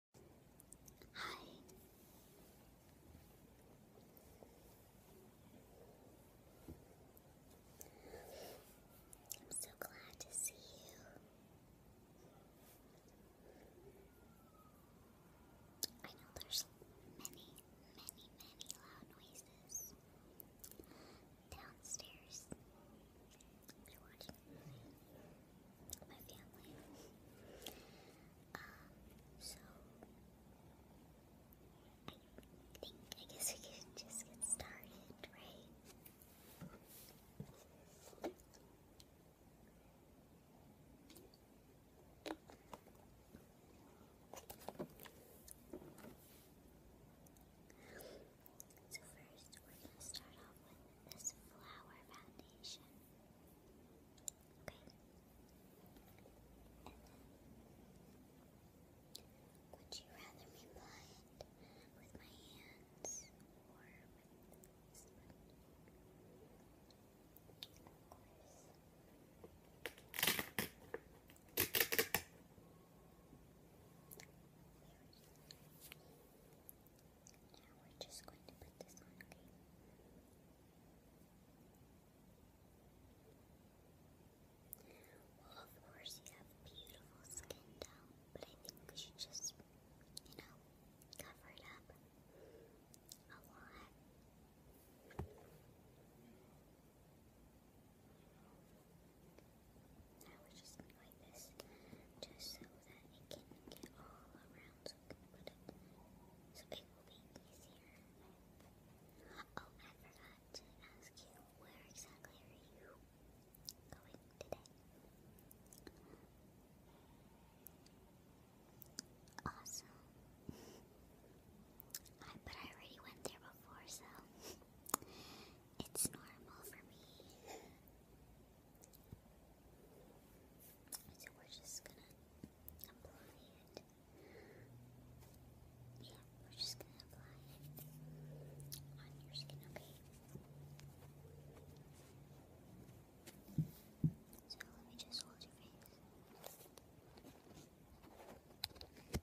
Hi. I'm so glad to see you. I know there's many, many, many loud noises downstairs. You're watching a my family. Um, so I think I guess we can just get started, right? So first, we're going to start off with this flower foundation. Okay. would you rather me apply it with my hands or with this now we're just going to put this on, okay? of course, you have beautiful skin tone, but I think we should just, you know, cover it up a lot. I was just like this, just so that it can get all around, so it, will be easier. Oh, I forgot to ask you, where exactly are you going today? Awesome. but I already went there before, so it's normal for me. So we're just gonna apply it. Yeah, we're just gonna apply it on your skin, okay? So let me just hold your face.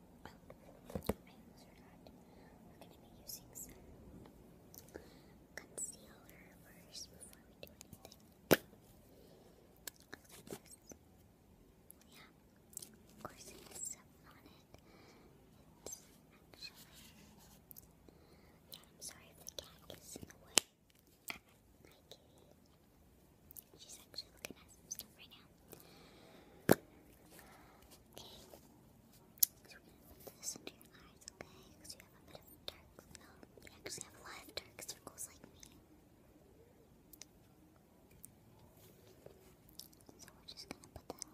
well, items we're going to be using concealer first before we do anything. Yeah, of course it has something on it. It's actually... Yeah, I'm sorry if the cat gets in the way. My kitty. She's actually looking at some stuff right now. Okay. we're gonna put this into your eyes, okay? Because you have a bit of dark circle. You actually have a lot of dark circles like me. So we're just gonna put that on.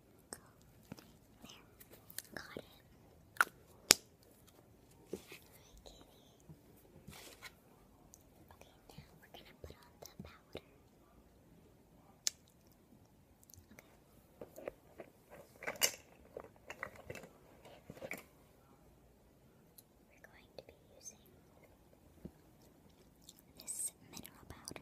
There. Got it. Alright, Okay, we're gonna put on the powder. Okay. We're going to be using this mineral powder.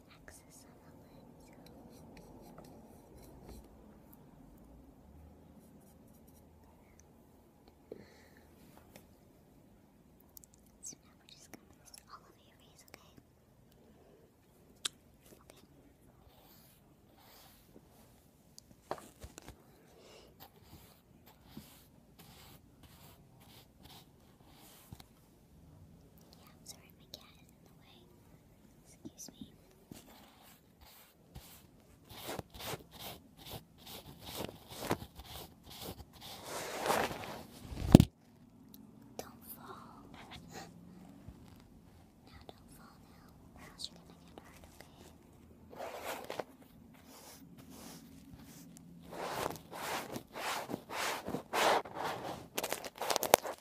the axis of a So now we're just going to mist all over your face, Okay. Okay. Yeah, sorry, my cat is in the way. Excuse me. Don't fall. now don't fall now, or else you're gonna get hurt, okay?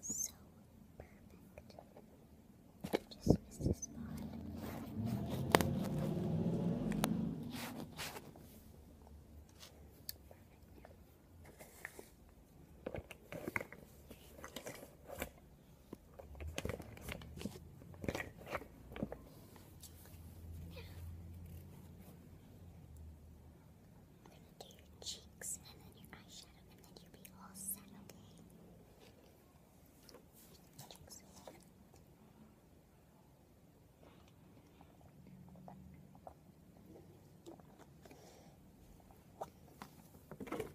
so perfect. Just missed the spot. Now, do your cheeks and then your eyeshadow, and then you'll be all set, Okay.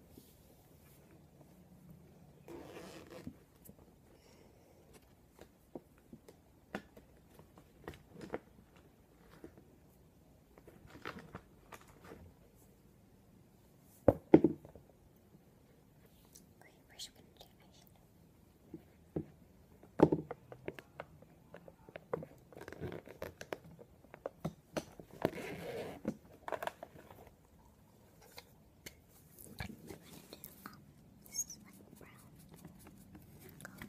Great, first we're going to do eyeshadow. We're going to do, um, this is like brown. Go.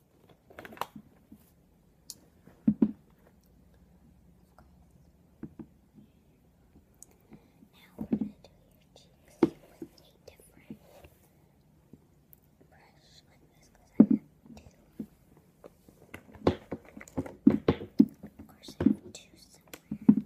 Now we're going to do your cheeks with a different brush like this because I have two. Of course, I have two somewhere.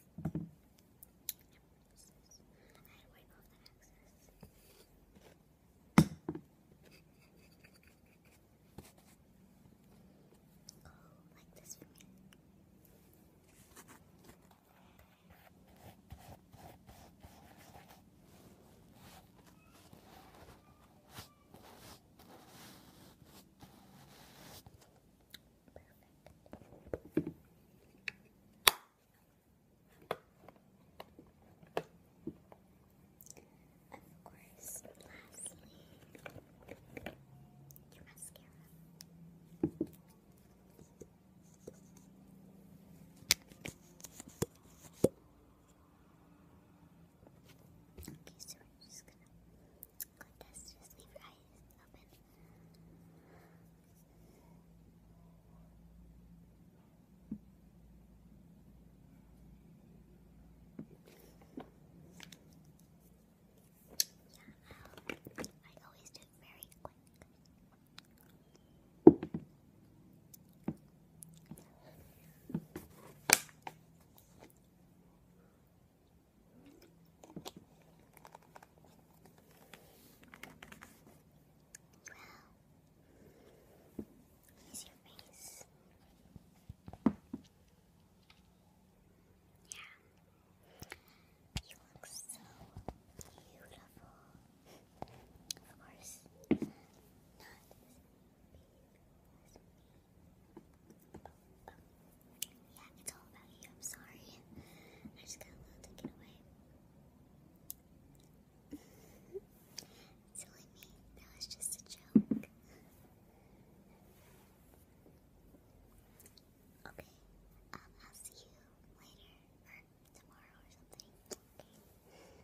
like this for me. Okay, Perfect. Of course, lastly, your mascara. Okay, so I'm just gonna contest. Just leave your eyes open. Yeah, um, I always do it very quick. Wow. your face. Yeah. You look so beautiful. Of course, not as big yeah, it's all about you. I'm sorry. I just got a little taken away. Silly me. That was just a joke. Okay. Um, I'll see you later or tomorrow or something. Okay. Bye.